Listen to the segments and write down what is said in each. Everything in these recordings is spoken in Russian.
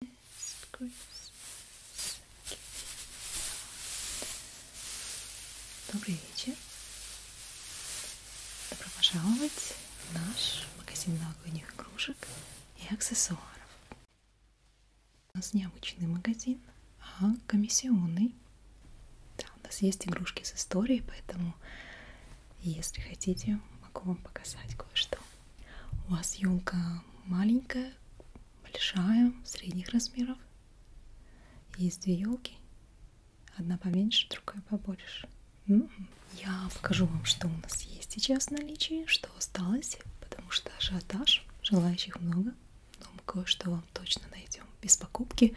This Christmas Добрый вечер. Добро пожаловать в наш магазин новогодних игрушек и аксессуаров. У нас необычный магазин, а комиссионный. Да, у нас есть игрушки с историей, поэтому если хотите, могу вам показать кое-что. У вас елка маленькая, большая, средних размеров. Есть две елки. Одна поменьше, другая побольше. Ну, я покажу вам, что у нас есть сейчас в наличии, что осталось, потому что ажиотаж, желающих много. Но мы кое-что вам точно найдем. Без покупки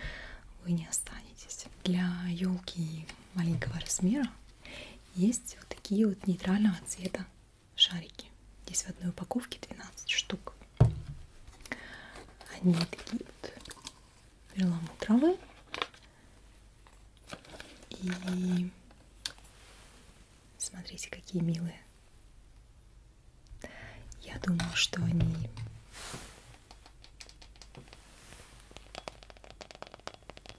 вы не останетесь. Для елки маленького размера есть вот такие вот нейтрального цвета шарики. Здесь в одной упаковке 12 штук. Они такие вот перламутровые. И смотрите, какие милые. Я думаю, что они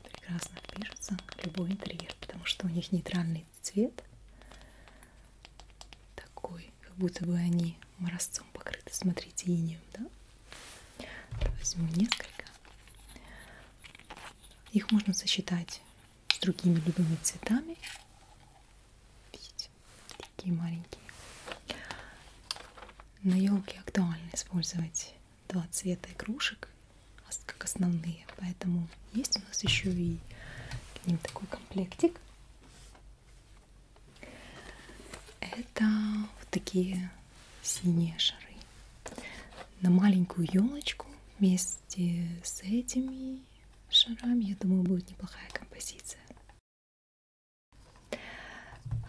прекрасно впишется в любой интерьер, потому что у них нейтральный цвет такой, как будто бы они морозцом покрыты, смотрите, инеем, да? Возьму несколько. Их можно сочетать с другими любыми цветами. Видите, такие маленькие. На елке актуально использовать два цвета игрушек, а как основные. Поэтому есть у нас еще и к ним такой комплектик. Это вот такие синие шары. На маленькую елочку вместе с этими шарами, я думаю, будет неплохая композиция.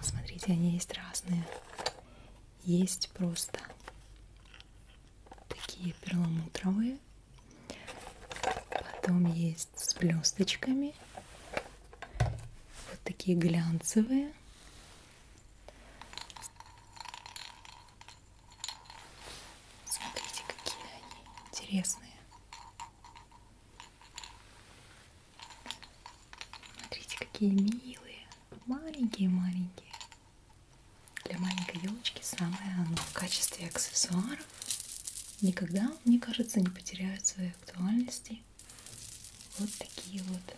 Смотрите, они есть разные. Есть просто такие перламутровые. Потом есть с блесточками. Вот такие глянцевые. Смотрите, какие они интересные. Смотрите, какие милые, маленькие-маленькие. Для маленькой елочки самое оно. В качестве аксессуаров никогда, мне кажется, не потеряют своей актуальности. Вот такие вот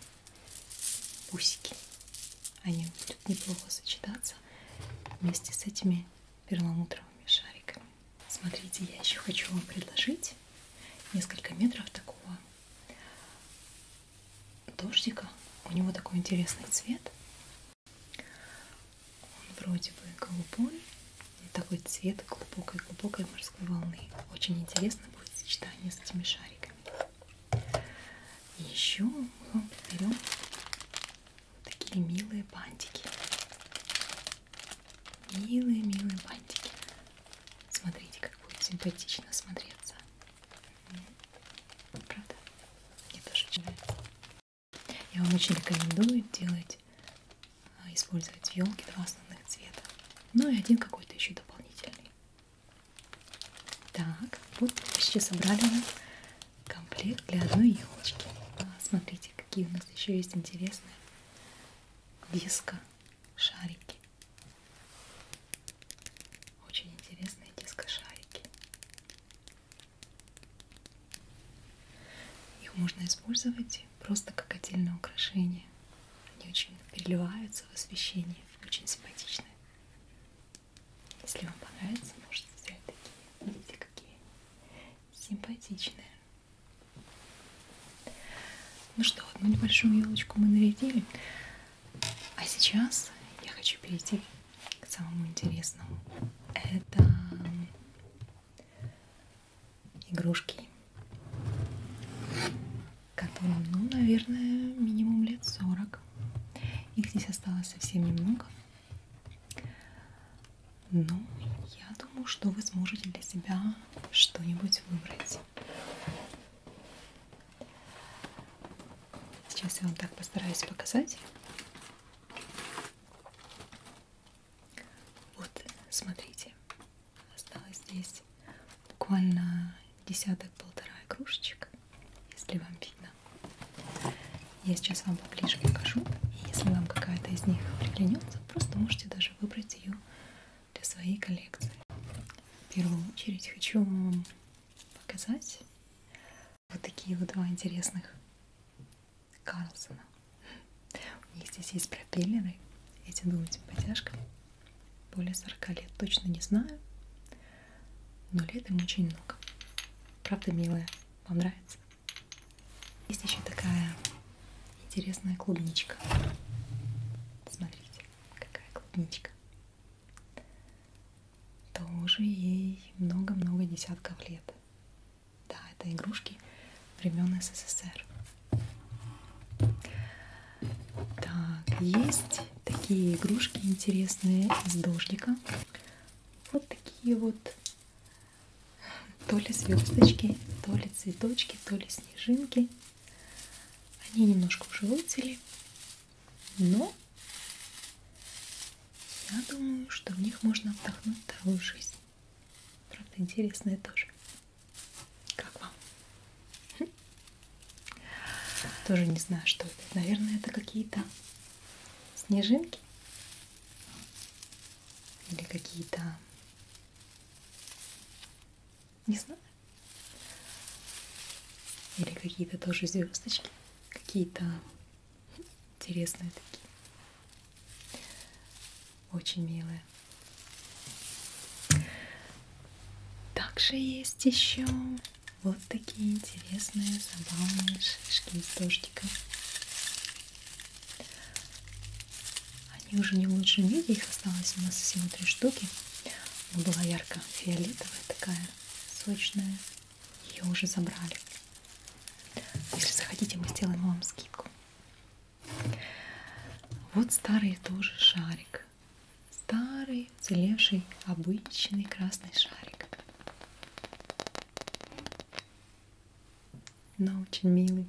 усики. Они будут неплохо сочетаться вместе с этими перламутровыми шариками. Смотрите, я еще хочу вам предложить несколько метров такого дождика. У него такой интересный цвет. Он вроде бы голубой, но такой цвет глубокой-глубокой морской волны. Очень интересно будет сочетание с этими шариками. И еще мы вам подарим такие милые бантики. Милые-милые бантики. Смотрите, как будет симпатично смотреться. Правда? Мне тоже нравится. Я вам очень рекомендую делать, а, использовать елки два основных цвета. Ну и один какой-то еще дополнительный. Так, вот почти собрали мы комплект для одной елочки. А, смотрите, какие у нас еще есть интересные веска шарики. Очень интересные дискошарики. Их можно использовать просто как отдельное украшение. Они очень переливаются в освещении, очень симпатичны. Если вам понравится, можете взять такие. Видите, какие симпатичные. Ну что, одну небольшую елочку мы нарядили. А сейчас я хочу перейти к самому интересному. Это игрушки. Которым, ну, наверное, минимум лет 40. Их здесь осталось совсем немного. Но ну, я думаю, что вы сможете для себя что-нибудь выбрать. Сейчас я вам так постараюсь показать. Вот, смотрите, осталось здесь буквально десяток-полтора игрушечек, если вам видно. Я сейчас вам поближе покажу. И если вам какая-то из них приглянется, просто можете даже выбрать ее для своей коллекции. В первую очередь хочу вам показать вот такие вот два интересных Карлсона. У них здесь есть пропеллеры. Эти дуют подтяжками. Более 40 лет точно не знаю. Но лет им очень много. Правда, милая, вам нравится? Есть еще такая интересная клубничка. Смотрите какая клубничка. Тоже ей много-много десятков лет. Да, это игрушки времен СССР. Так, есть такие игрушки интересные из дождика. Вот такие вот то ли звездочки, то ли цветочки, то ли снежинки. Они немножко пожелтели, но я думаю, что в них можно вдохнуть вторую жизнь. Правда, интересное тоже. Как вам? Хм. Тоже не знаю, что это. Наверное, это какие-то снежинки. Или какие-то не знаю. Или какие-то тоже звездочки. Какие-то интересные такие. Очень милые. Также есть еще вот такие интересные, забавные шишки с дождиком. Они уже не в лучшем виде, их осталось у нас всего три штуки. Она была ярко-фиолетовая, такая сочная. Ее уже забрали. Если захотите, мы сделаем вам скидку. Вот старый тоже шарик. Старый, целевший, обычный красный шарик. Но очень милый.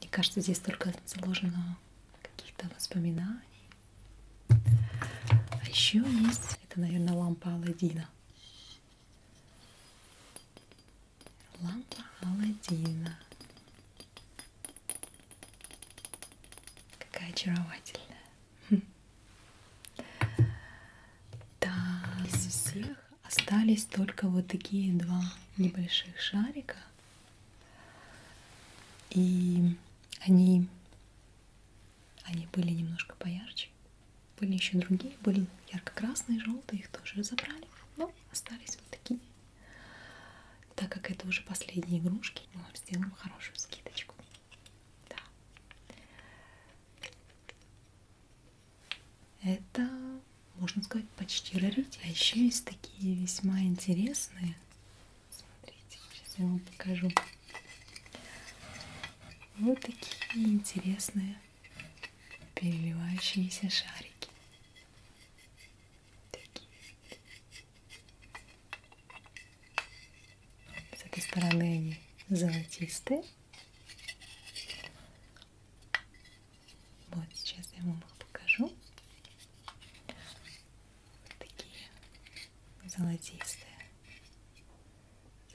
Мне кажется, здесь только заложено каких-то воспоминаний. А еще есть, это, наверное, лампа Алладина. Лампа Алладина. Какая очаровательная. Да, из всех остались только вот такие два небольших шарика. И они, они были немножко поярче. Были еще другие, были ярко-красные, желтые, их тоже разобрали. Но остались вот такие. Так как это уже последние игрушки, мы вам сделаем хорошую скидочку. Да. Это, можно сказать, почти раритет. А еще есть такие весьма интересные Смотрите, сейчас я вам покажу. Вот такие интересные переливающиеся шарики. Такие. С этой стороны они золотистые. Вот сейчас я вам их покажу. Вот такие золотистые.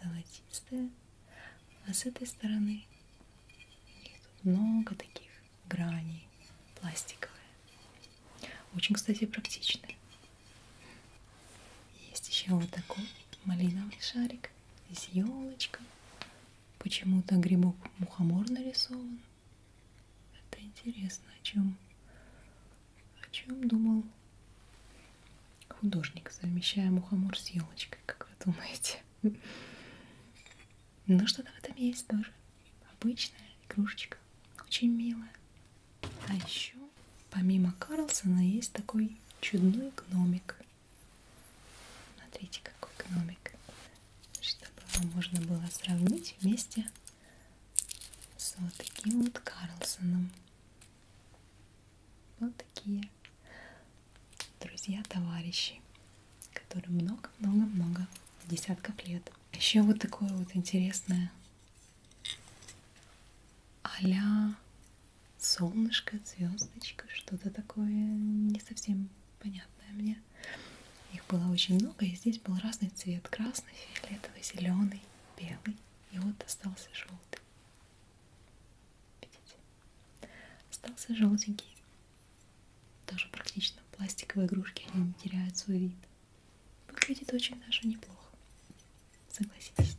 Золотистые. А с этой стороны тут много таких граней пластиковые. Очень, кстати, практичные. Есть еще вот такой малиновый шарик. Здесь елочка. Почему-то грибок мухомор нарисован. Это интересно, о чем, о чем думал художник, совмещая мухомор с елочкой, как вы думаете. Но ну, что-то в этом есть тоже. Обычная игрушечка, очень милая. А еще, помимо Карлсона, есть такой чудной гномик. Смотрите, какой гномик чтобы вам можно было сравнить вместе с вот таким вот Карлсоном. Вот такие друзья-товарищи, которым много-много-много десятков лет. Еще вот такое вот интересное а солнышко, звездочка, что-то такое не совсем понятное мне красные. Их было очень много, и здесь был разный цвет. Красный, фиолетовый, зеленый, белый. И вот остался желтый. Видите? Остался желтенький. Тоже практично. Пластиковые игрушки, они не теряют свой вид. Выглядит очень даже неплохо. Согласитесь.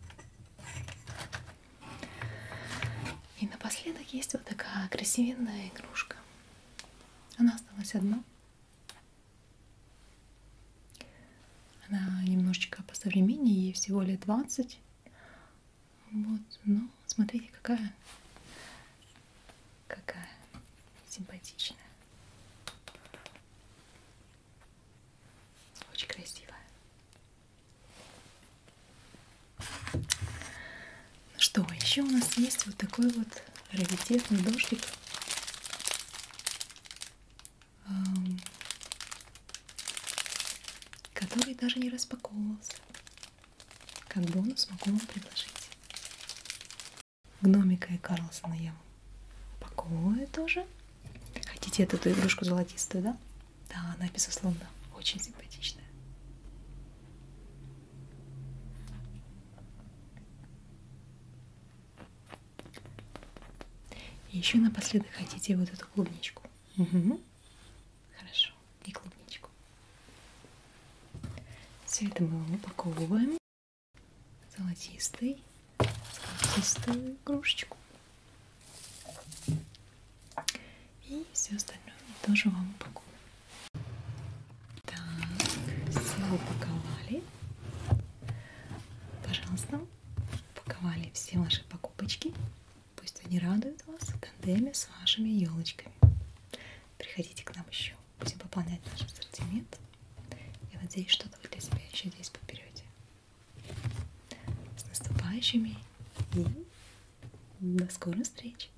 И напоследок есть вот такая красивенная игрушка. Она осталась одна. Она немножечко по современнее, ей всего лет 20. Вот, ну, смотрите, какая, какая симпатичная. Очень красивая. Что, еще у нас есть вот такой вот раритетный дождик. Который даже не распаковывался. Как бонус могу вам предложить. Гномика и Карлсона я упаковываю тоже. Хотите эту игрушку золотистую, да? Да, она, безусловно, очень симпатичная. И еще напоследок хотите вот эту клубничку. Угу. Хорошо. И клубничку. Все это мы упаковываем. Золотистый. Золотистую игрушечку. И все остальное тоже вам упаковываем. Так, все упаковали. Пожалуйста, упаковали все ваши покупочки. Пусть они радуют вас в тандеме с вашими елочками. Приходите к нам еще. Будем пополнять наш ассортимент. Я надеюсь, что-то вы для себя еще здесь подберете. С наступающими и до скорых встреч!